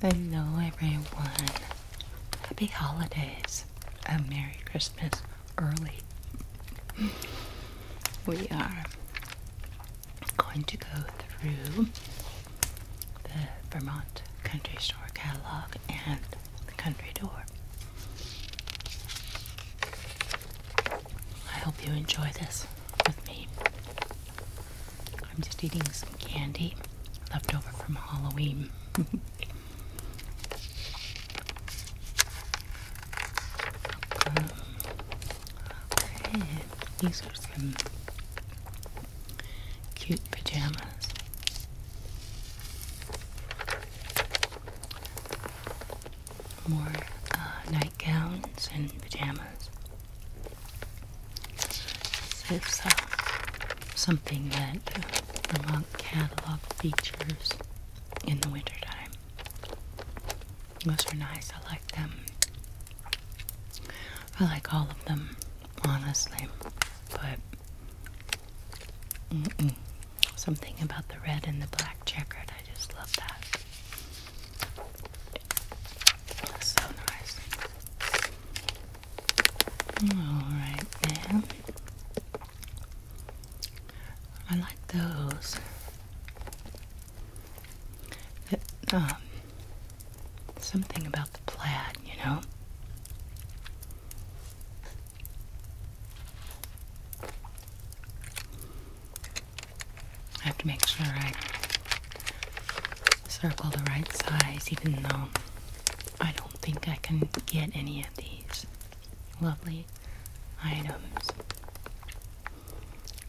Hello, everyone. Happy holidays A Merry Christmas early. We are going to go through the Vermont Country Store catalog and the country door. I hope you enjoy this with me. I'm just eating some candy left over from Halloween. These are some cute pajamas. More uh, nightgowns and pajamas. So it's something that the uh, Vermont catalog features in the wintertime. Those are nice. I like them. I like all of them, honestly. But Something about the red and the black checkered. I just love that. so nice. All right, I like those. Um, something about the plaid, you know. I have to make sure I circle the right size, even though I don't think I can get any of these lovely items.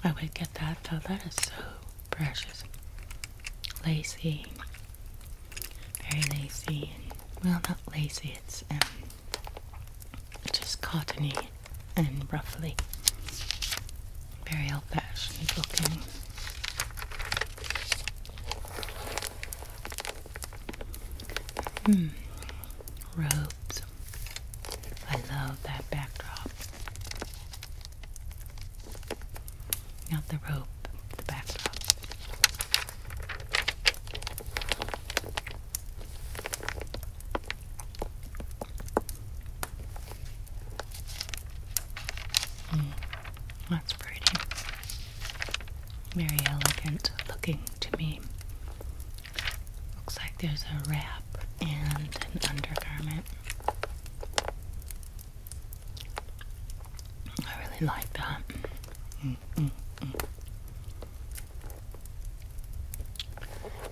I would get that though, that is so precious. Lacey very lacy and well not lacy it's um, just cottony and roughly very old-fashioned looking Hmm, robes. I love that backdrop. Now the robe Hmm. that's pretty. Very elegant looking to me. Looks like there's a wrap and an undergarment. I really like that.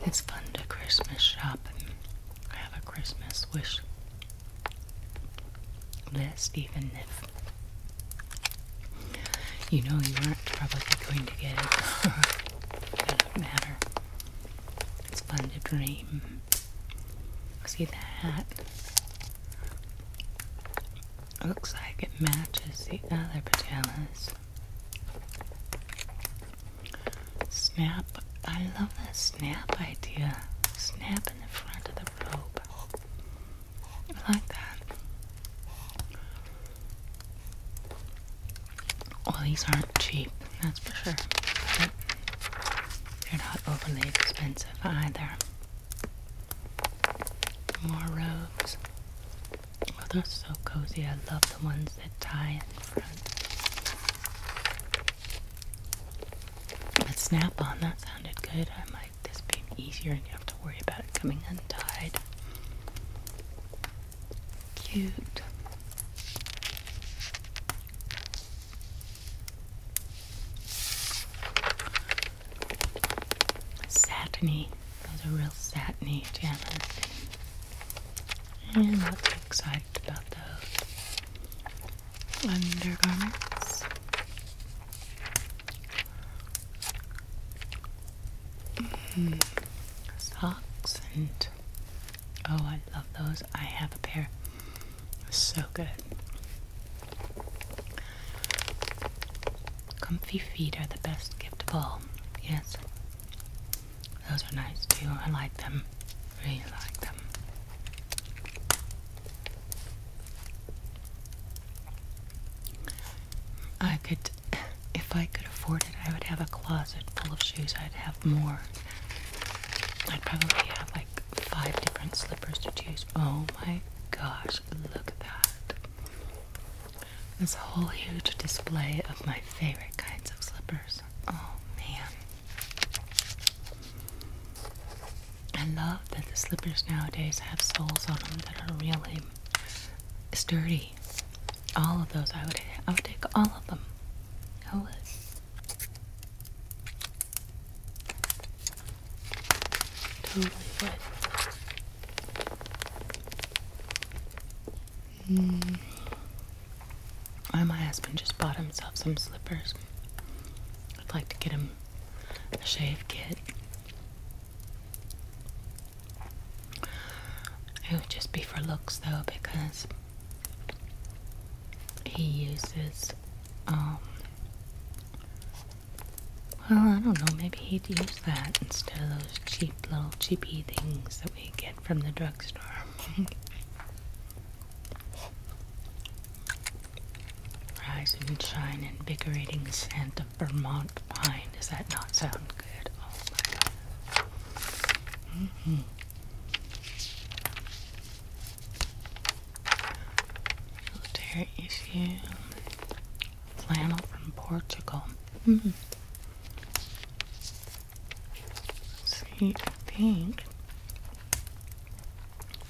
It's fun to Christmas shop and have a Christmas wish list, even if you know you aren't probably going to get it. doesn't matter. It's fun to dream. See that looks like it matches the other pajamas. Snap. I love that snap idea. Snap in the front of the robe. I like that. Well, these aren't cheap, that's for sure. they're not overly expensive either. More robes. Oh, they're so cozy. I love the ones that tie in front. But snap on, that sounded good. I might this be easier and you have to worry about it coming untied. Cute satiny. Those are real satiny I'm not too excited about those undergarments. Mm-hmm. Socks and oh, I love those. I have a pair. So good. Comfy feet are the best gift of all. Yes. Those are nice too. I like them. Really like them. I could, if I could afford it, I would have a closet full of shoes. I'd have more. I'd probably have like five different slippers to choose. Oh my gosh look at that. This whole huge display of my favorite kinds of slippers. Oh man. I love that the slippers nowadays have soles on them that are really sturdy. All of those I would I would take all of them. I would. Totally would. Mm. Why my husband just bought himself some slippers. I'd like to get him a shave kit. It would just be for looks though because he uses um, well, I don't know, maybe he'd use that instead of those cheap little cheapy things that we get from the drugstore. Rise and shine invigorating scent of Vermont pine. Does that not sound good? Oh my god. -hmm. There is you flannel from Portugal. Mm. See, I think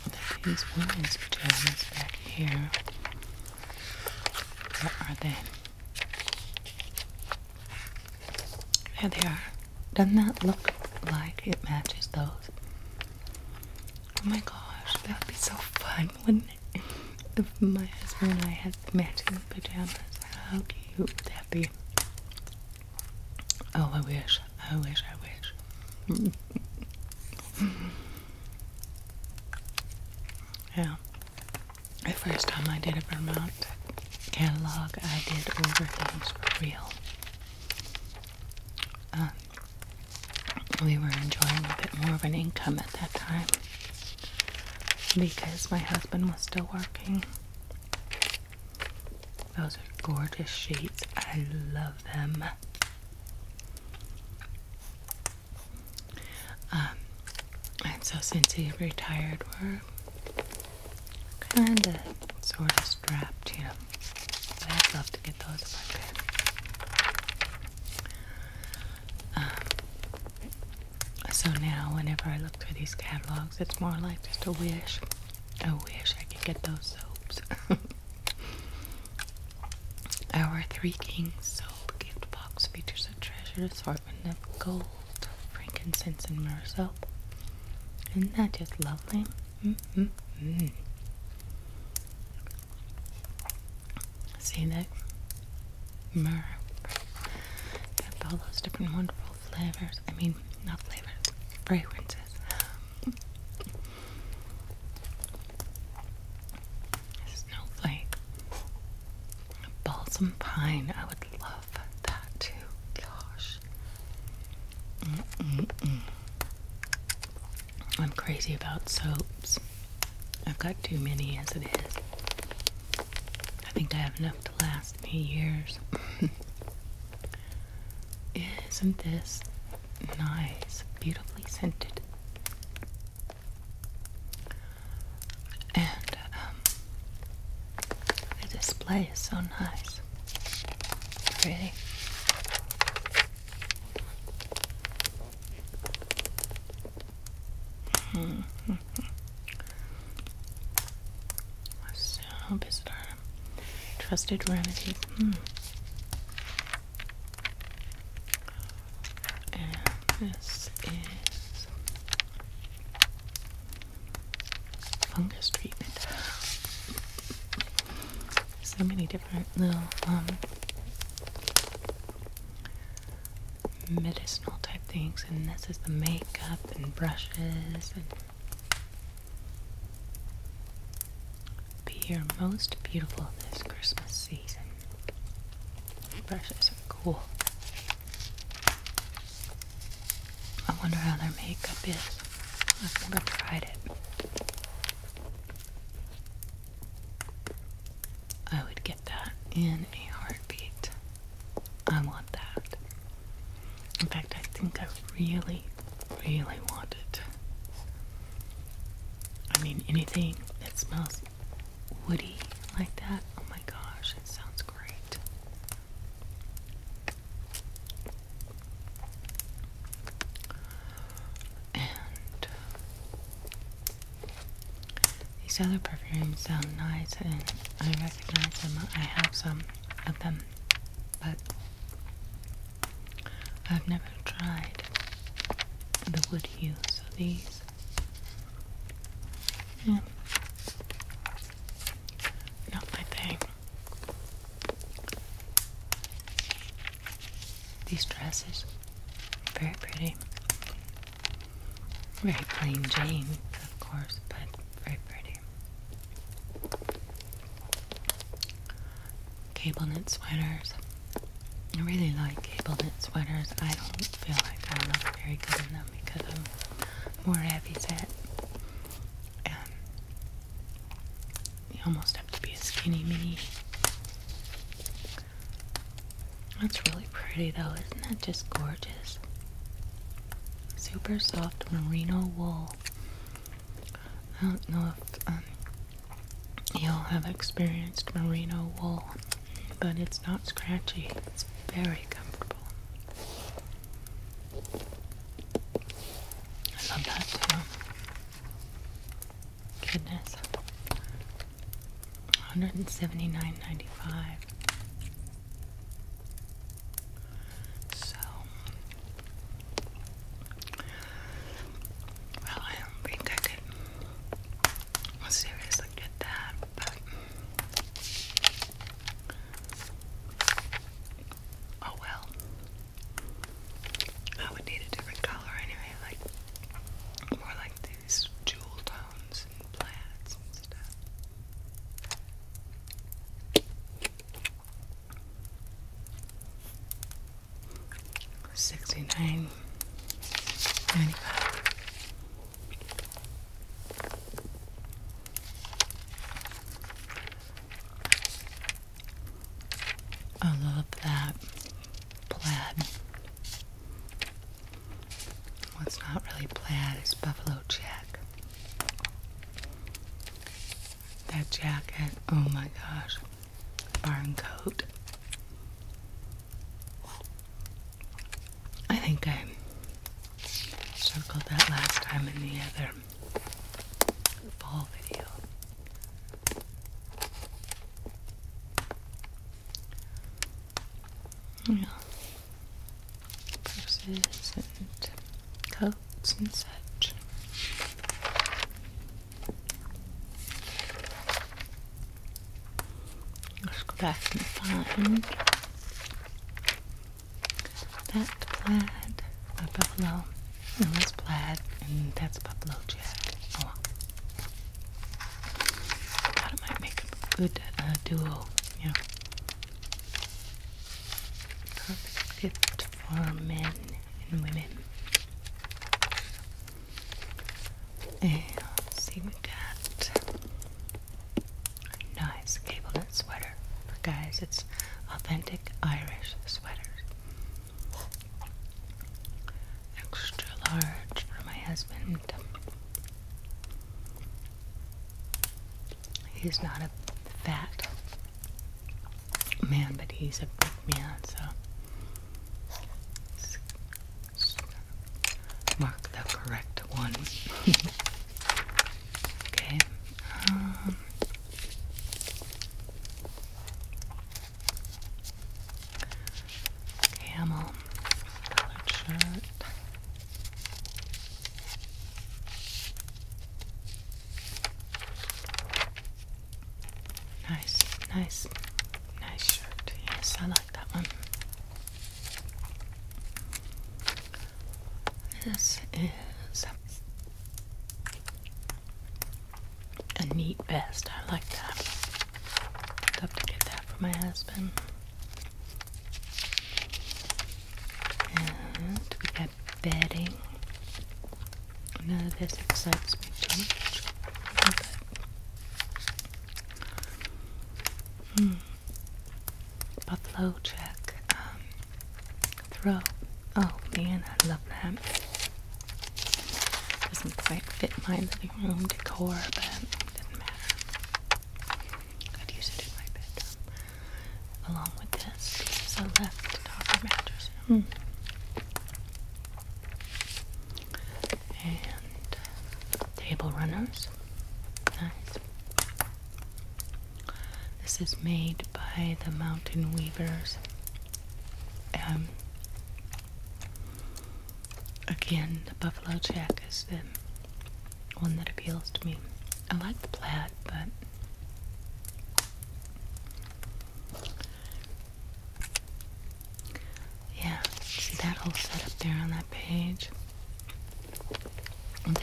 that these women's pajamas back here. Where are they? There they are. Doesn't that look like it matches those? Oh my gosh, that would be so fun, wouldn't if my husband and I had matching pajamas, how cute would that be? Oh, I wish, I wish, I wish. yeah. The first time I did a Vermont catalog, I did order things for real. Uh, we were enjoying a bit more of an income at that time because my husband was still working. Those are gorgeous sheets. I love them. Um, and so since he retired, we're kind of sort of strapped, you But I'd love to get those if I could. Um, so now, whenever I look through these catalogs, it's more like just a wish. A wish I could get those soaps. Our Three Kings soap gift box features a treasure assortment of gold, frankincense, and myrrh soap. Isn't that just lovely? Mm-hmm. Mm-hmm. See that? Myrrh. All those different wonderful flavors. I mean, not flavors, fragrances. Snowflake. Balsam pine. I would love that too. Gosh. Mm -mm -mm. I'm crazy about soaps. I've got too many as it is. I think I have enough to last me years. Isn't this nice? Beautifully scented. And um, the display is so nice. Pretty so bizarre. Trusted remedy. Hmm. this is fungus treatment. So many different little um medicinal type things and this is the makeup and brushes and be your most beautiful this Christmas season. Brushes are cool. I wonder how their makeup is. I've never tried it. I would get that in a heartbeat. I want that. In fact, I think I really, really want it. I mean, anything that smells woody like that, oh my gosh, it sounds great these other perfumes sound nice and I recognize them. I have some of them, but I've never tried the wood hues of these. Not my thing. These dresses, very pretty. Very plain Jane, of course, but very pretty. Cable knit sweaters. I really like cable knit sweaters. I don't feel like I look very good in them because I'm more heavy set. you almost have to be a skinny mini that's really pretty though, isn't that just gorgeous? Super soft merino wool. I don't know if um, y'all have experienced merino wool, but it's not scratchy. It's very comfortable. I love that too. Goodness. Hundred and seventy nine ninety five. So well I don't think I could seriously get that, but oh well. I would need a different color anyway, like more like jewel tones and plaids and stuff. Sixty nine ninety five. I love that plaid. What's not really plaid is buffalo check. That jacket, oh my gosh, barn coat. I think I circled that last time in the other fall video you purses and coats and such. Let's go back and find that plaid by Buffalo, and this plaid, and that's Buffalo yeah. along. I might make a good uh, duo, you know. Perfect gift for men and women. And see, we got nice cable knit sweater guys. It's authentic Irish sweaters extra large for my husband. He's not a fat man, but he's a big man, so mark the correct one. okay. Um, Camel colored shirt. Nice, nice, nice shirt. Yes, I like that one. This is a neat vest. I like that. love to get that for my husband. And we got bedding. None of this excites me too much. Hmm. Buffalo check. Um, throw. Oh man, I love that. Doesn't quite fit my living room decor, but didn't matter. I'd use it in my bedroom. Along with this, because I left Dr. Mattress. Mm. And uh, table runners. Nice. This is made by the Mountain Weavers. Um, Again, the buffalo check is the one that appeals to me. I like the plaid, but yeah, see that whole setup there on that page.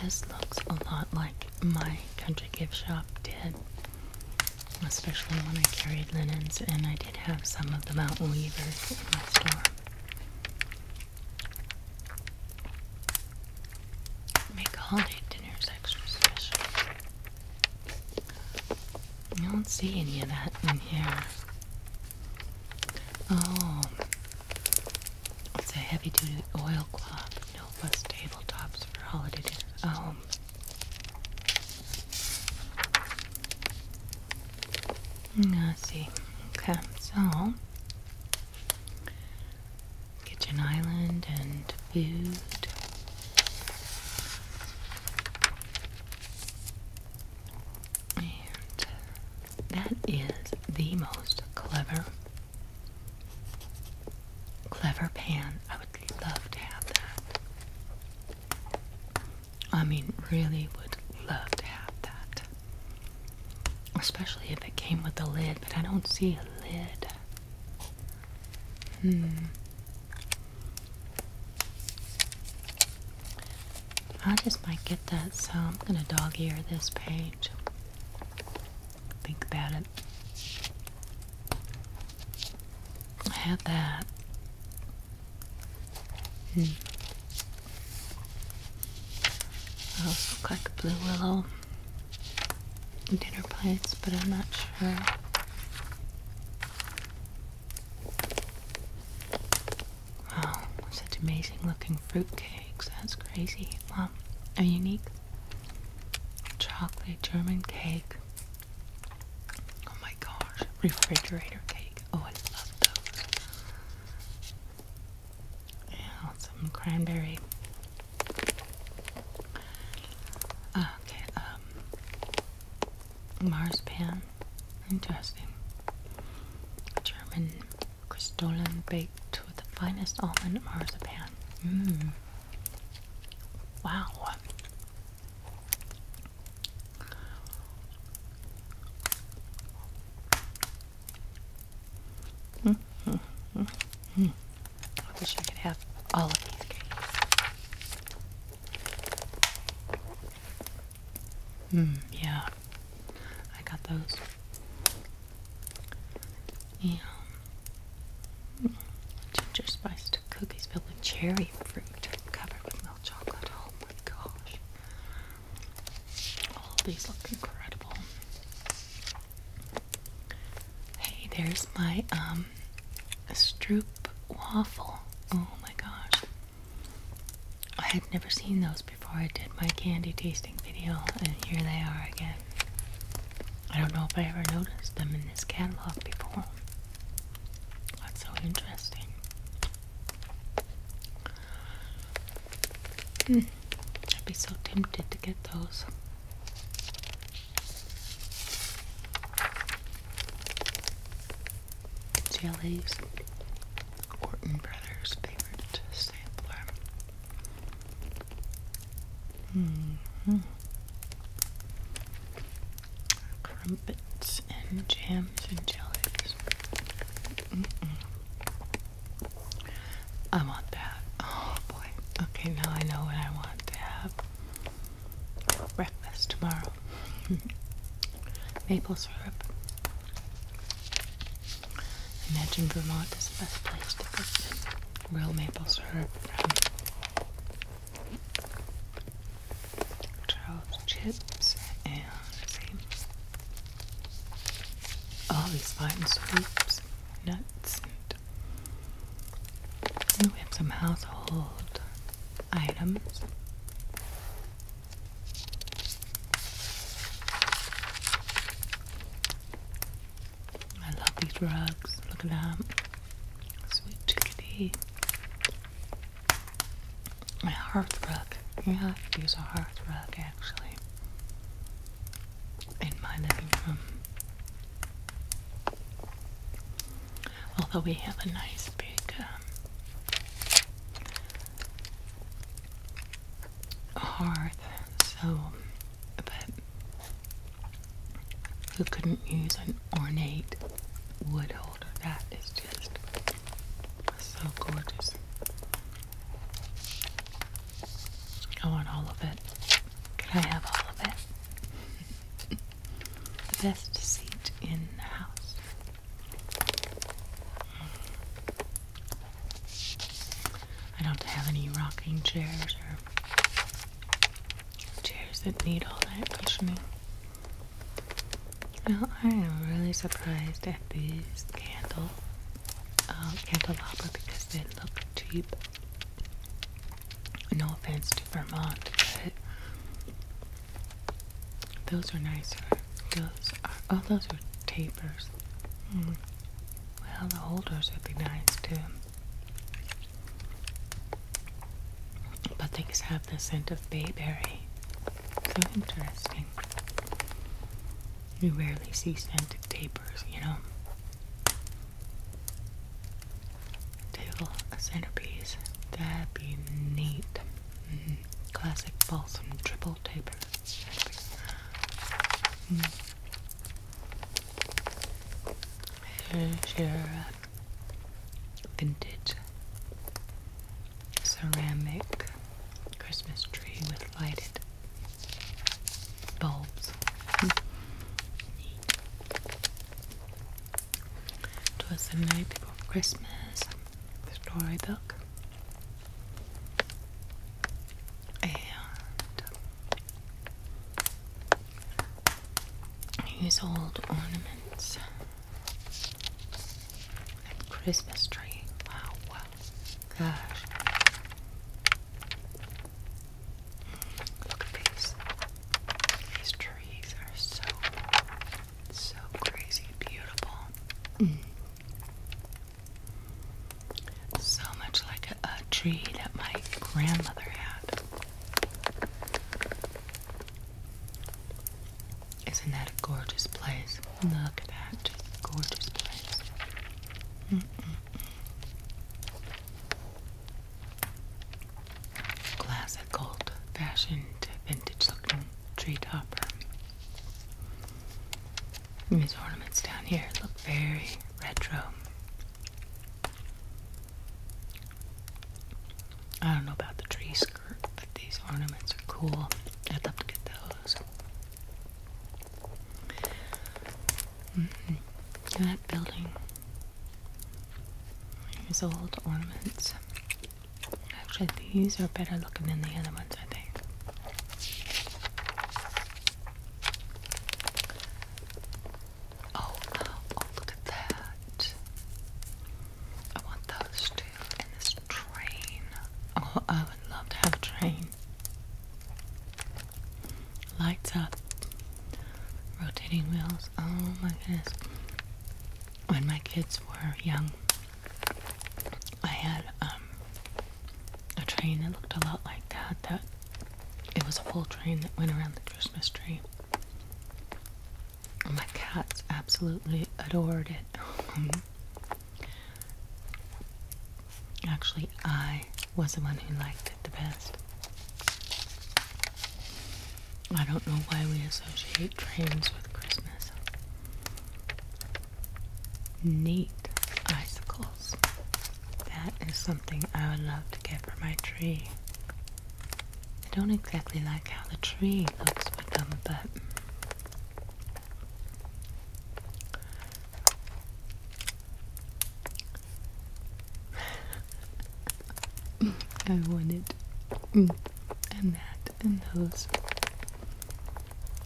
This looks a lot like my country gift shop did, especially when I carried linens, and I did have some of the Mountain Weavers in my store. Make holiday dinners extra special. You don't see any of that in here. Oh, it's a heavy duty oilcloth. No plus tabletops for holiday dinners. Oh. I ah, see. Okay, so kitchen island and food. And that is the most clever, clever pan. I would love to have that. I mean, really would love to have that. Especially if it came with a lid, but I don't see a lid. Hmm. I just might get that, so I'm gonna dog ear this page. Think about it. I have that. Mm. Those look like blue willow dinner plates, but I'm not sure. Wow, such amazing looking fruit cakes. That's crazy. Wow, a unique chocolate German cake. Oh my gosh, refrigerator cake. Oh, I love those. Yeah, some cranberry. Okay, um, marzipan. Interesting. German crystalline baked with the finest almond Marspan. Mmm. Wow. Mm -hmm. Mm -hmm. I wish I could have all of these cookies. Hmm, yeah, I got those. Yeah. Ginger spiced cookies filled with cherry fruit, covered with milk chocolate. Oh my gosh. All these look incredible. Hey, there's my um Stroop waffle. Oh my gosh. I had never seen those before I did my candy tasting video, and here they are again. I don't know if I ever noticed them in this catalog before. That's so interesting. Hmm. I'd be so tempted to get those. Jellies, Orton Brothers' favorite sampler. Mm-hmm. Crumpets and jam and jellies. I want that. Oh boy. Okay, now I know what I want to have breakfast tomorrow. Maple syrup. Imagine Vermont is the best place to get real maple syrup Charles Chips and all these fine sweeps, nuts, and we have some household items. I love these rugs. Look at that. Sweet chickadee. My hearth rug. Yeah, I a hearth rug actually in my living room. Although we have a nice big um, hearth, so but who couldn't use an ornate wood holder? That is just so gorgeous. I want all of it. Can I have all of it? the best seat in the house. I don't have any rocking chairs or chairs that need all that cushioning. Well, I am really surprised at these candle um, candelabra because they look cheap. No offense to Vermont, but those are nicer. Those are oh, those are tapers. Hmm. Well, the holders would be nice too. But they just have the scent of bayberry. So interesting time. You rarely see scented tapers, you know. Table, centerpiece. That'd be neat. Mm-hmm. Classic balsam triple taper. Mm-hmm. Here's your uh, vintage ceramic Christmas tree with lighted bulbs. Neat. Twas the night before Christmas storybook. And these old ornaments. And Christmas tree. wow. Gosh. Look at these. These trees are so, so crazy beautiful. So much like a tree that my grandmother had. Isn't that a gorgeous place? Look at that gorgeous place. Classic, old-fashioned, vintage-looking tree topper. These ornaments down here look very retro. I don't know about the tree skirt, but these ornaments are cool. I'd love to get those. Mm-hmm. That building. Here's old ornaments. Actually, these are better looking than the other ones, I think. Oh, oh, look at that. I want those too and this train. Oh, I would love to have a train. Lights up, rotating wheels. Oh my goodness. When my kids were young, I had um, a train that looked a lot like that. That it was a full train that went around the Christmas tree. My cats absolutely adored it. Actually, I was the one who liked it the best. I don't know why we associate trains with Christmas. Neat icicles. That is something I would love to get for my tree. I don't exactly like how the tree looks with them, but I wanted mm. and that and those.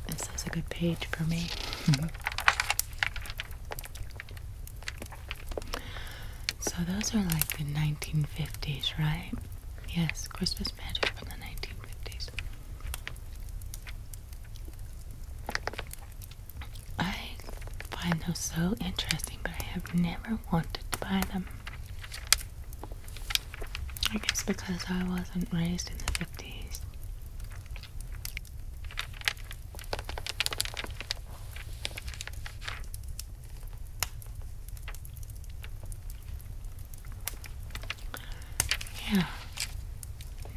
This is a good page for me. Mm-hmm. So those are like the 1950s, right? Yes, Christmas magic from the 1950s. I find those so interesting, but I have never wanted to buy them. I guess because I wasn't raised in the 50s. Yeah.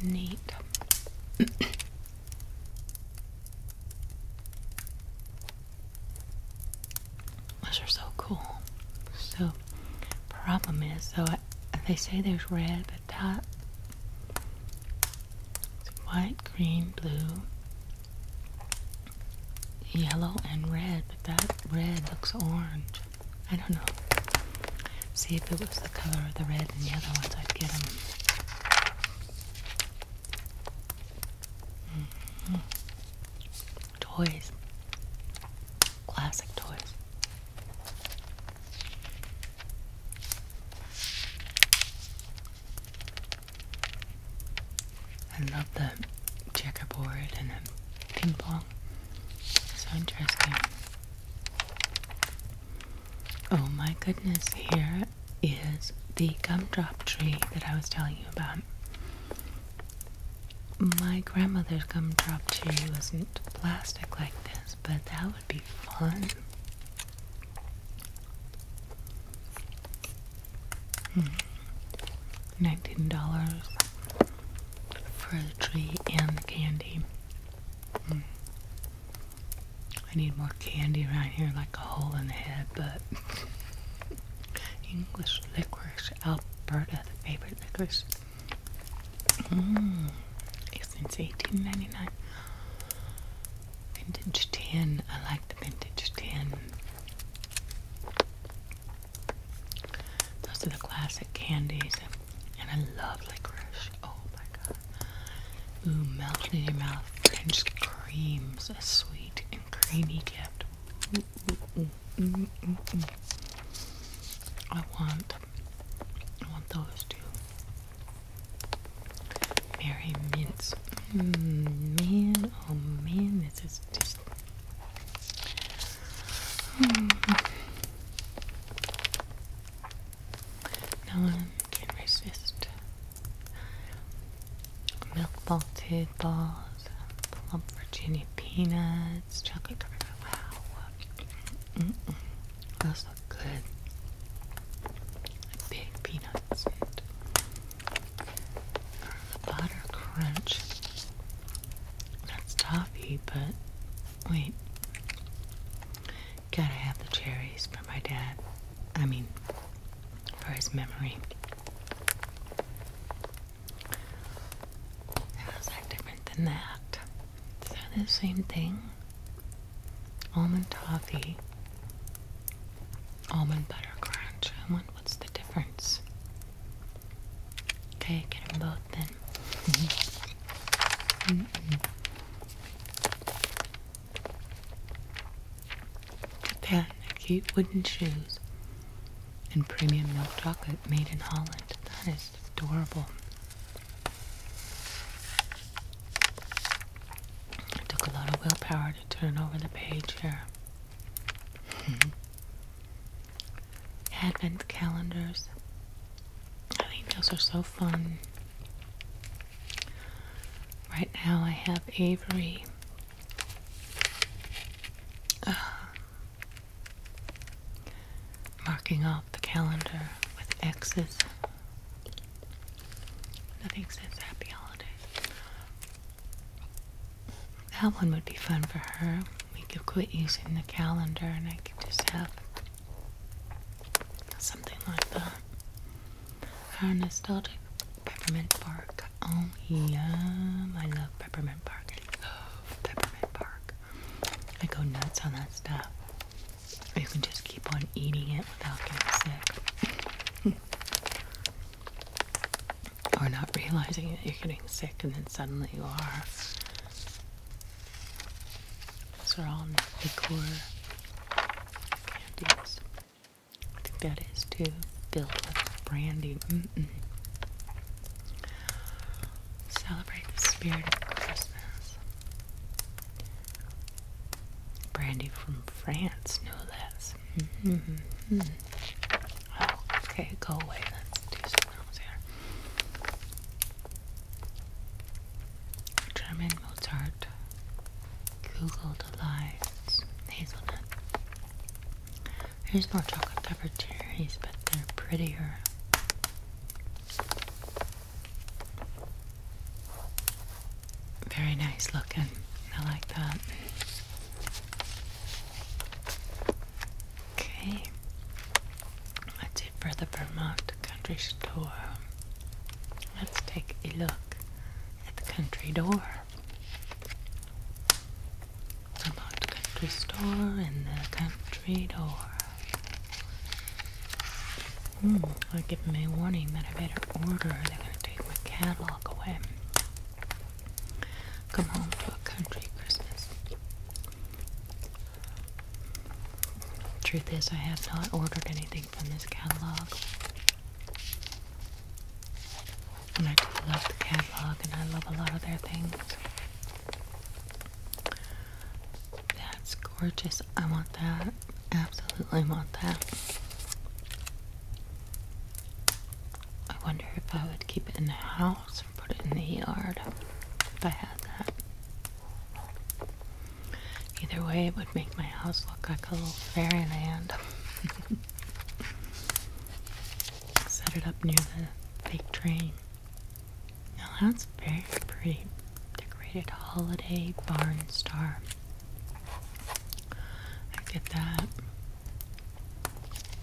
Neat. Those are so cool. So, problem is, though, they say there's red, but that white, green, blue, yellow, and red. But that red looks orange. I don't know. See if it was the color of the red and the other ones, I'd get them. Mm-hmm. Toys. Classic toys. I love the checkerboard and the ping pong. So interesting. Oh my goodness, here is the gumdrop tree that I was telling you about. My grandmother's gumdrop tree wasn't plastic like this, but that would be fun. Hmm. $19 for the tree and the candy. I need more candy around here, like a hole in the head, but English licorice, Alberta, the favorite licorice. Mm. since eighteen ninety nine. Vintage tin. I like the vintage tin. Those are the classic candies. And I love licorice. Oh my god. Ooh, melt in your mouth. French creams. A sweet and creamy gift. Ooh, ooh, ooh, ooh, ooh, I want, I want those too. Mary Mints. Mm, man, oh man, this is just. No one can resist milk malted balls, plump Virginia peanuts, chocolate covered. Wow, mm -mm. those look good. Big peanuts and butter crunch. That's toffee, but Wait. Gotta have the cherries for my dad. I mean, for his memory. How's that different than that? Is that the same thing? Almond toffee, almond butter crunch. I what's the difference? Okay, get them both then. Mm cute wooden shoes and premium milk chocolate made in Holland. That is adorable. It took a lot of willpower to turn over the page here. Hmm. Advent calendars I think those are so fun. Right now, I have Avery. Uh, marking off the calendar with X's. Nothing says happy holidays. That one would be fun for her. We could quit using the calendar and I could just have Something like that. Our nostalgic peppermint bark. Oh, yeah, I love peppermint Park. I peppermint Park. I go nuts on that stuff. You can just keep on eating it without getting sick. or not realizing that you're getting sick and then suddenly you are. Those are all liqueur candies. I think that is to filled with brandy. Mm Celebrate the spirit of Christmas. Brandy from France, no less. Mm-hmm. Oh, okay, go away. Let's do something else here. German Mozart, Google Delights, Hazelnut. Here's more chocolate covered cherries, but they're prettier. Very nice looking. I like that. Okay. Let's for the Vermont Country Store. Let's take a look at the country door. Vermont Country Store and the country door. Hmm, are giving me a warning that I better order or they going to take my catalog away. Come home to a country Christmas. Truth is, I have not ordered anything from this catalog. And I do love the catalog, and I love a lot of their things. That's gorgeous. I want that. Absolutely want that. I wonder if I would keep it in the house or put it in the yard if I had that. Either way, it would make my house look like a little fairyland. Set it up near the fake train. Now that's very pretty. Decorated holiday barn star. Look at that.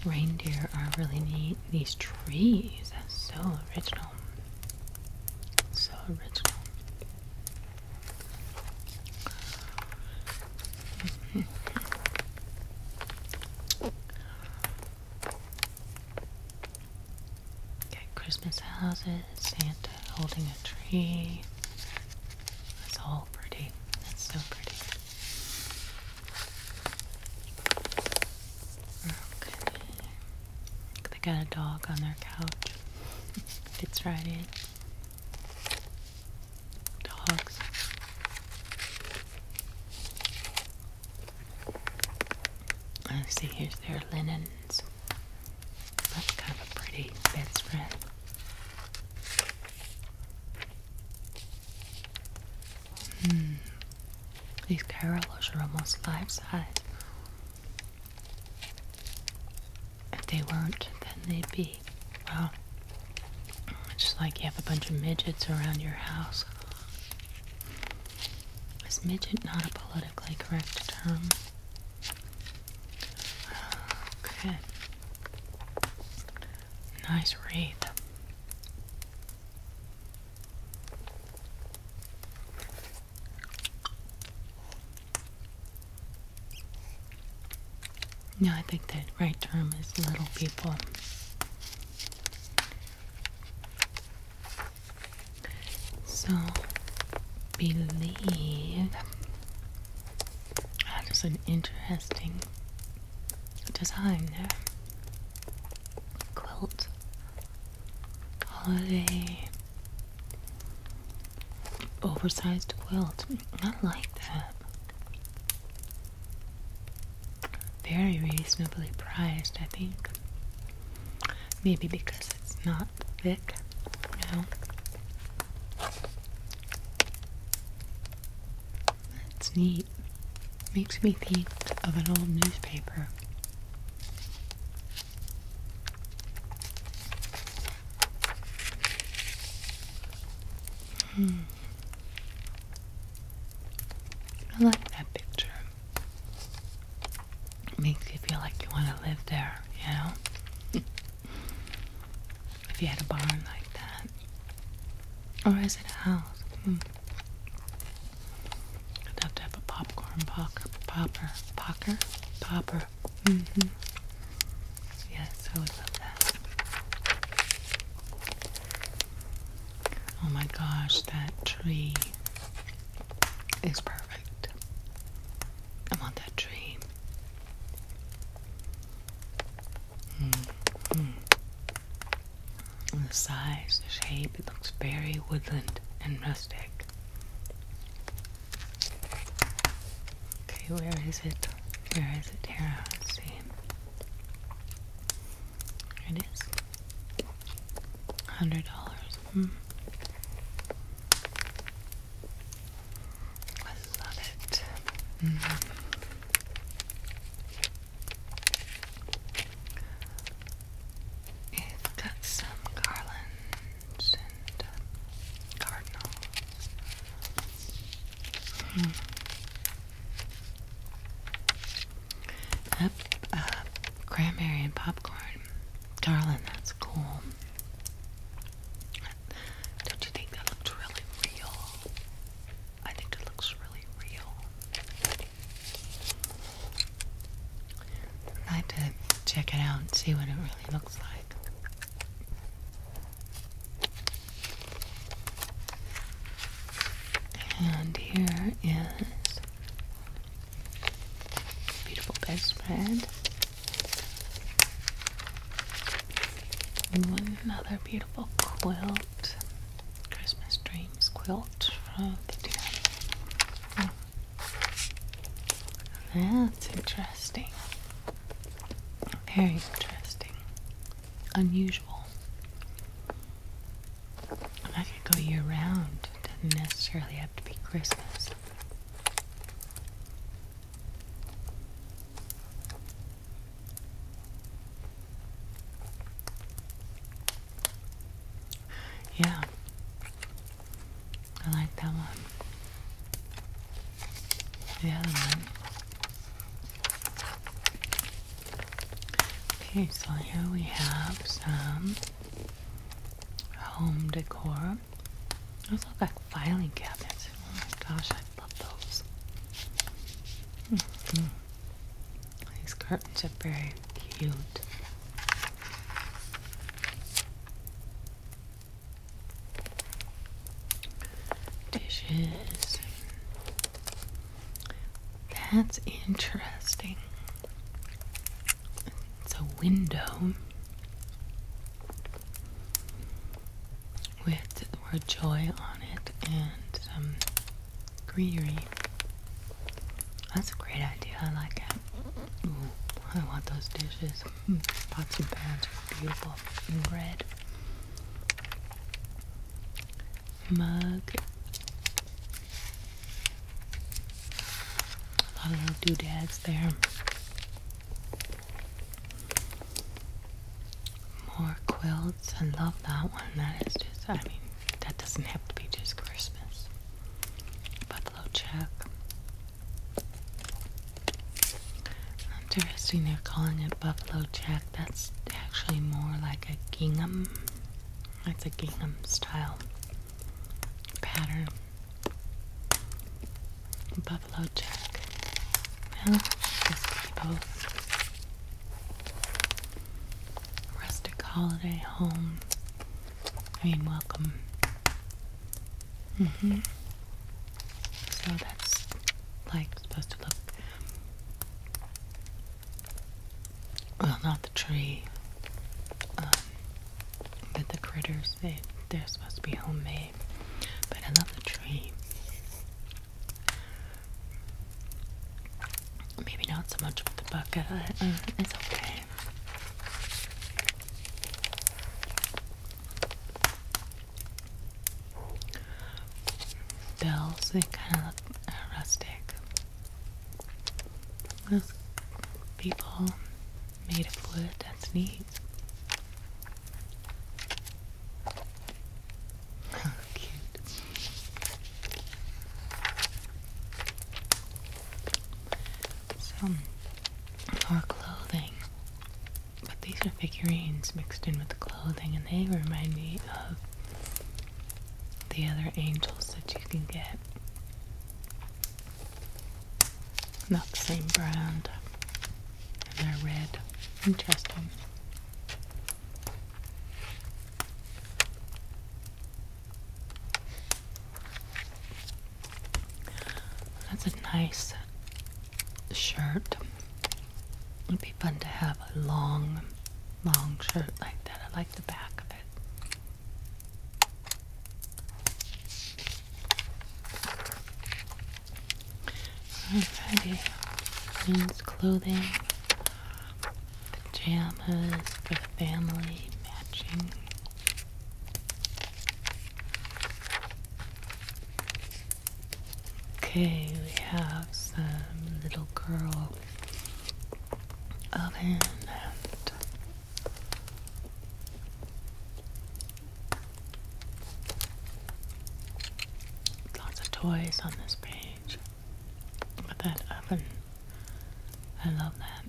Reindeer are really neat. These trees are so original. So original. Christmas houses, Santa holding a tree. That's all pretty. That's so pretty. Okay. Oh, they got a dog on their couch. Fits right in. Dogs. Let's see, here's their linens. That's kind of a pretty bedspread. Mm. These Carolas are almost five size. If they weren't, then they'd be. Well, it's just like you have a bunch of midgets around your house. Is midget not a politically correct term? Okay. Nice read. No, I think the right term is little people. So, believe that is an interesting design there. Quilt holiday Oversized quilt. I like that. Very reasonably priced, I think. Maybe because it's not thick. No. That's neat. Makes me think of an old newspaper. Hmm. I like that picture. makes you feel like you want to live there, you know? if you had a barn like that. Or is it a house? Hmm. I'd have to have a popcorn popper, popper, popper, popper. Mm hmm Yes, I would love that. Oh my gosh, that tree is perfect. I want that tree. Mm-hmm. The size, the shape, it looks very woodland and rustic. Okay, where is it? Where is it here? Let's see. Here it is. Hundred dollars. I hmm. love it. Mm-hmm. It's got some garland and um, Cardinals. Hmm. cranberry and popcorn. Darling, that's cool. Don't you think that looks really real? I think it looks really real. I'd like to check it out and see what it really looks like. And here is beautiful bedspread. another beautiful quilt, Christmas Dreams quilt from the dear that's interesting. Very interesting. Unusual. I could go year round. doesn't necessarily have to be Christmas. Yeah. I like that one. The other one. Okay, so here we have some home decor. Those look like filing cabinets. Oh my gosh, I love those. Mm-hmm. These curtains are very cute. Dishes. That's interesting. It's a window with the word joy on it and greenery. That's a great idea. I like it. I want those dishes. Mm, pots and pans are beautiful and red. Mug. A lot of little doodads there. More quilts. I love that one. That is just, I mean, that doesn't have to be just Christmas. Buffalo check. Interesting, they're calling it Buffalo Jack. That's actually more like a gingham. That's a gingham style pattern. Buffalo Jack. Well, just both. Rustic holiday home. I mean, welcome Mm hmm So that's like supposed to look well, not the tree, um, but the critters. They they're supposed to be homemade. But I love the tree. Maybe not so much with the bucket. it's okay. Bells, they kind of look uh, rustic. Those people made of wood, that's neat. Cute some are clothing. But these are figurines mixed in with the clothing, and they remind me of the other angels that you can get. Not the same brand. And they're red. Interesting. That's a nice shirt. It'd be fun to have a long, long shirt like that. I like the back of it. Alrighty, men's clothing, pajamas for the family, matching Okay, we have some little girl oven and lots of toys on this page. But that oven, I love that.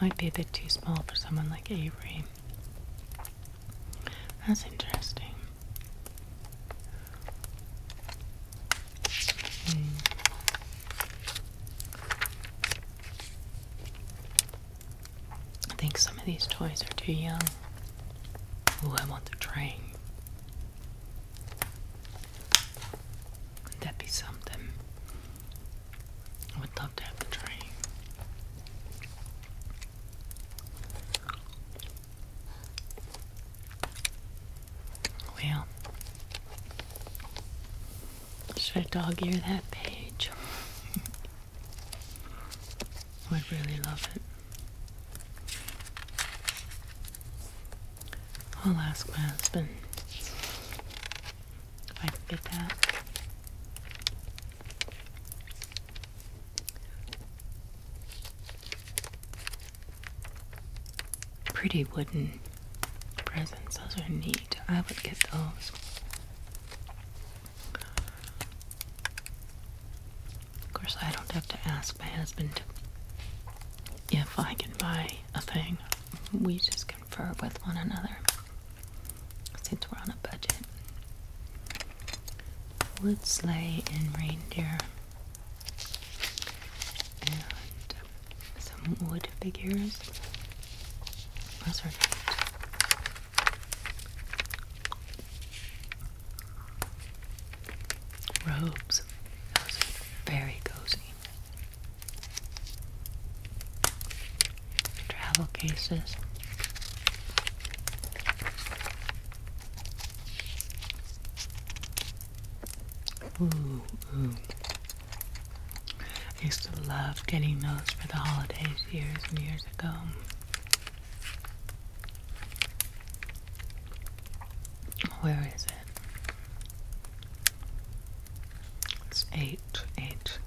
Might be a bit too small for someone like Avery. That's interesting. Hmm. I think some of these toys are too young. Oh, I want the train would that be something? I would love to have a train. Well, should I dog ear that page? I would really love it. I'll ask my husband if I can get that. Pretty wooden presents, those are neat. I would get those. Of course, I don't have to ask my husband if I can buy a thing. We just confer with one another since we're on a budget. Wood sleigh and reindeer. And some wood figures. Those are neat. Robes. Those are very cozy. Travel cases. Ooh, ooh. I used to love getting those for the holidays years and years ago. Where is it? It's eight, eight.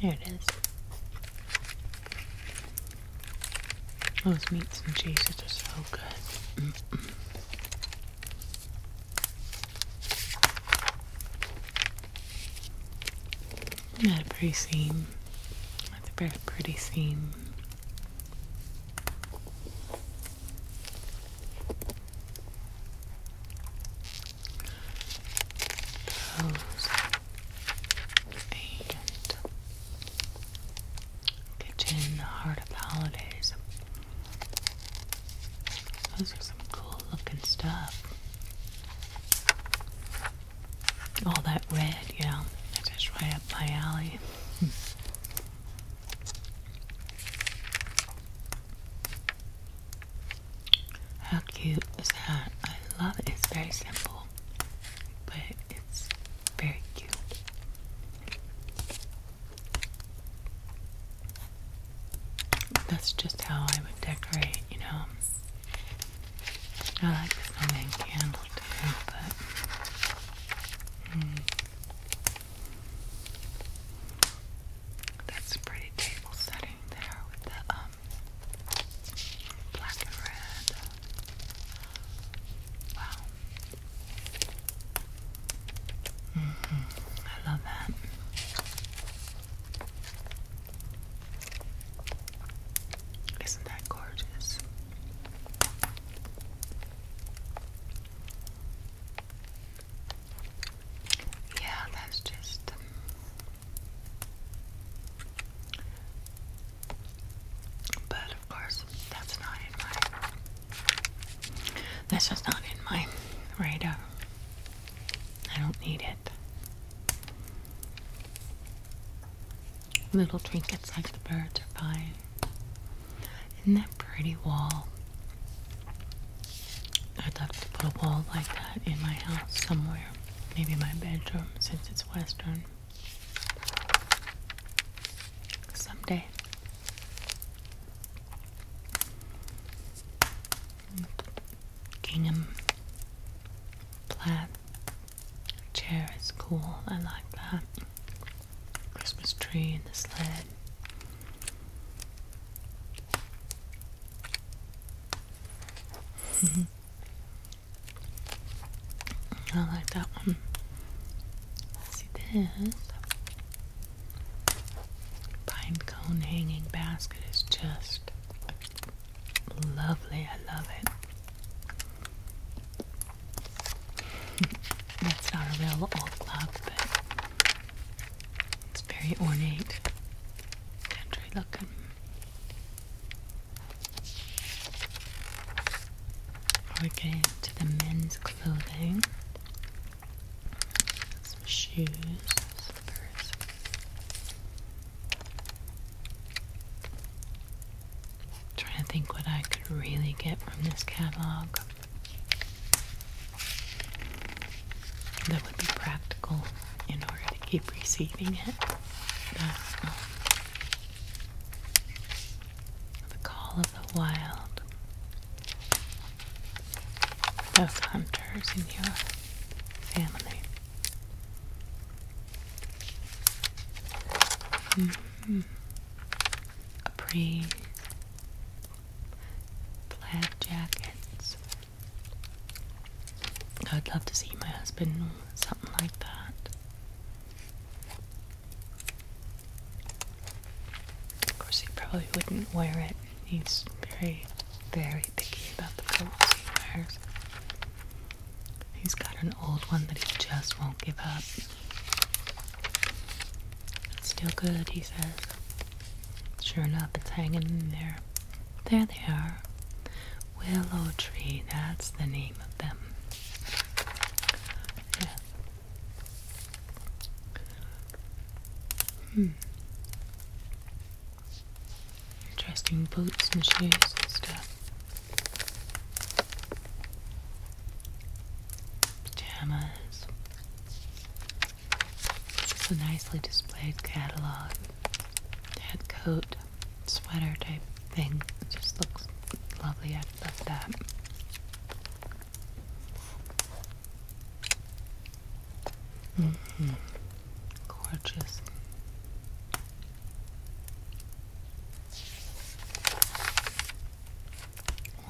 There it is. Those meats and cheeses are so good. Not a pretty scene. That's a very pretty scene. Those and Kitchen Heart of the Holidays. Those are some cool looking stuff. All that red, yeah, that is right up my alley. How cute is that? I love it. It's very simple, but it's very cute. That's just how I would decorate, you know. I like the snowman candle too, but hmm. that's a pretty table setting there with the um black and red. Wow. Mm -hmm. I love that. Isn't that gorgeous? Yeah, that's just. Um, but of course, that's not in my. That's just not in my radar. I don't need it. Little trinkets like the birds are fine. Isn't that pretty wall? I'd love to put a wall like that in my house somewhere. Maybe my bedroom since it's western. Someday. Gingham plaid Chair is cool, I like that. Christmas tree in the sled. I like that one. See this? Pine cone hanging basket is just Lovely, I love it. That's not a but it's very ornate, country looking. we to the men's clothing. shoes, slippers trying to think what I could really get from this catalog that would be practical in order to keep receiving it. Um, the Call of the Wild. Those hunters in your family. Mm-hmm. A pretty plaid jackets. I'd love to see my husband something like that. Of course, he probably wouldn't wear it. He's very, very picky about the clothes. He's got an old one that he just won't give up. It's still good, he says. Sure enough, it's hanging in there. There they are. Willow tree, that's the name of them. Hmm. Interesting boots and shoes and stuff. Pajamas. It's a nicely displayed catalog. Head coat, sweater type thing. just looks lovely. I love that. Mm -hmm. Gorgeous.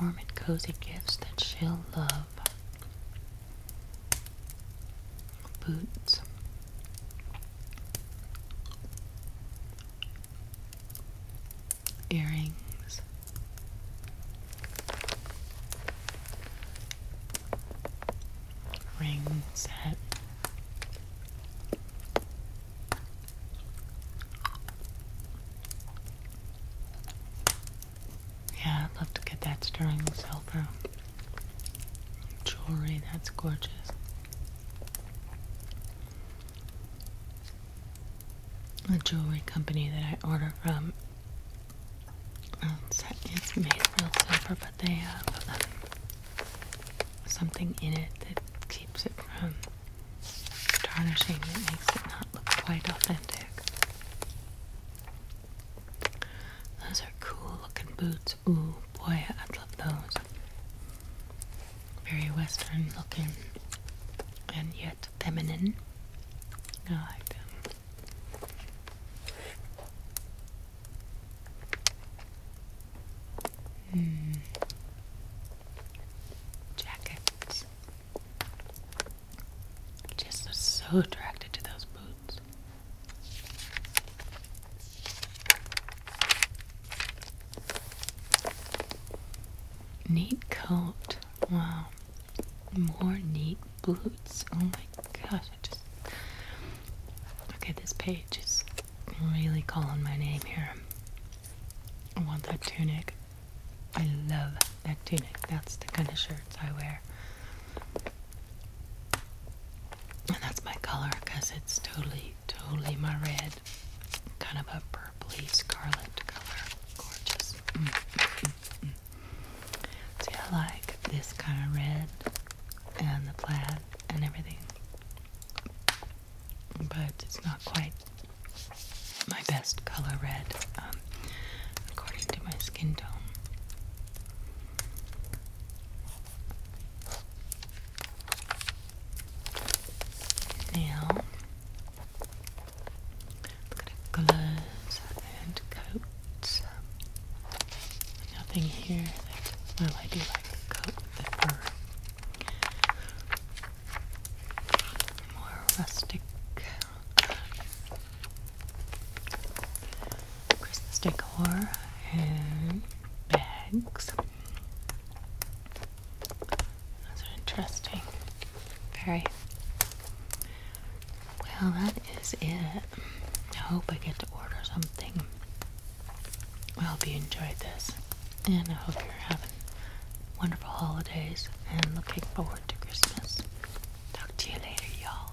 Warm and cozy gifts that she'll love. Boots. Earrings. Ring set. Yeah, I'd love to get that sterling silver jewelry. That's gorgeous. The jewelry company that I order from. Um, it's made real silver, but they have. Um, something in it that keeps it from tarnishing, that makes it not look quite authentic. Those are cool looking boots. Ooh, boy, I'd love those. Very Western looking and yet feminine. I like them. Hmm. Jacket. Just so attracted to those boots. Neat coat. Wow. More neat boots. Oh my gosh. I just. Okay, this page is really calling my name here. I want that tunic. I love that tunic. That's the kind of shirts I wear. And that's my color because it's totally, totally my red. Kind of a purpley scarlet color. Gorgeous. Mm, mm, mm, mm. See, I like this kind of red and the plaid and everything but it's not quite my best color red, um, according to my skin tone. Now, look at the and coats. Nothing here that, well, I do more rustic. Christmas decor and bags. Those are interesting. Very. Well, that is it. I hope I get to order something I hope you enjoyed this, and I hope you're having wonderful holidays and looking forward to Christmas. Talk to you later, y'all.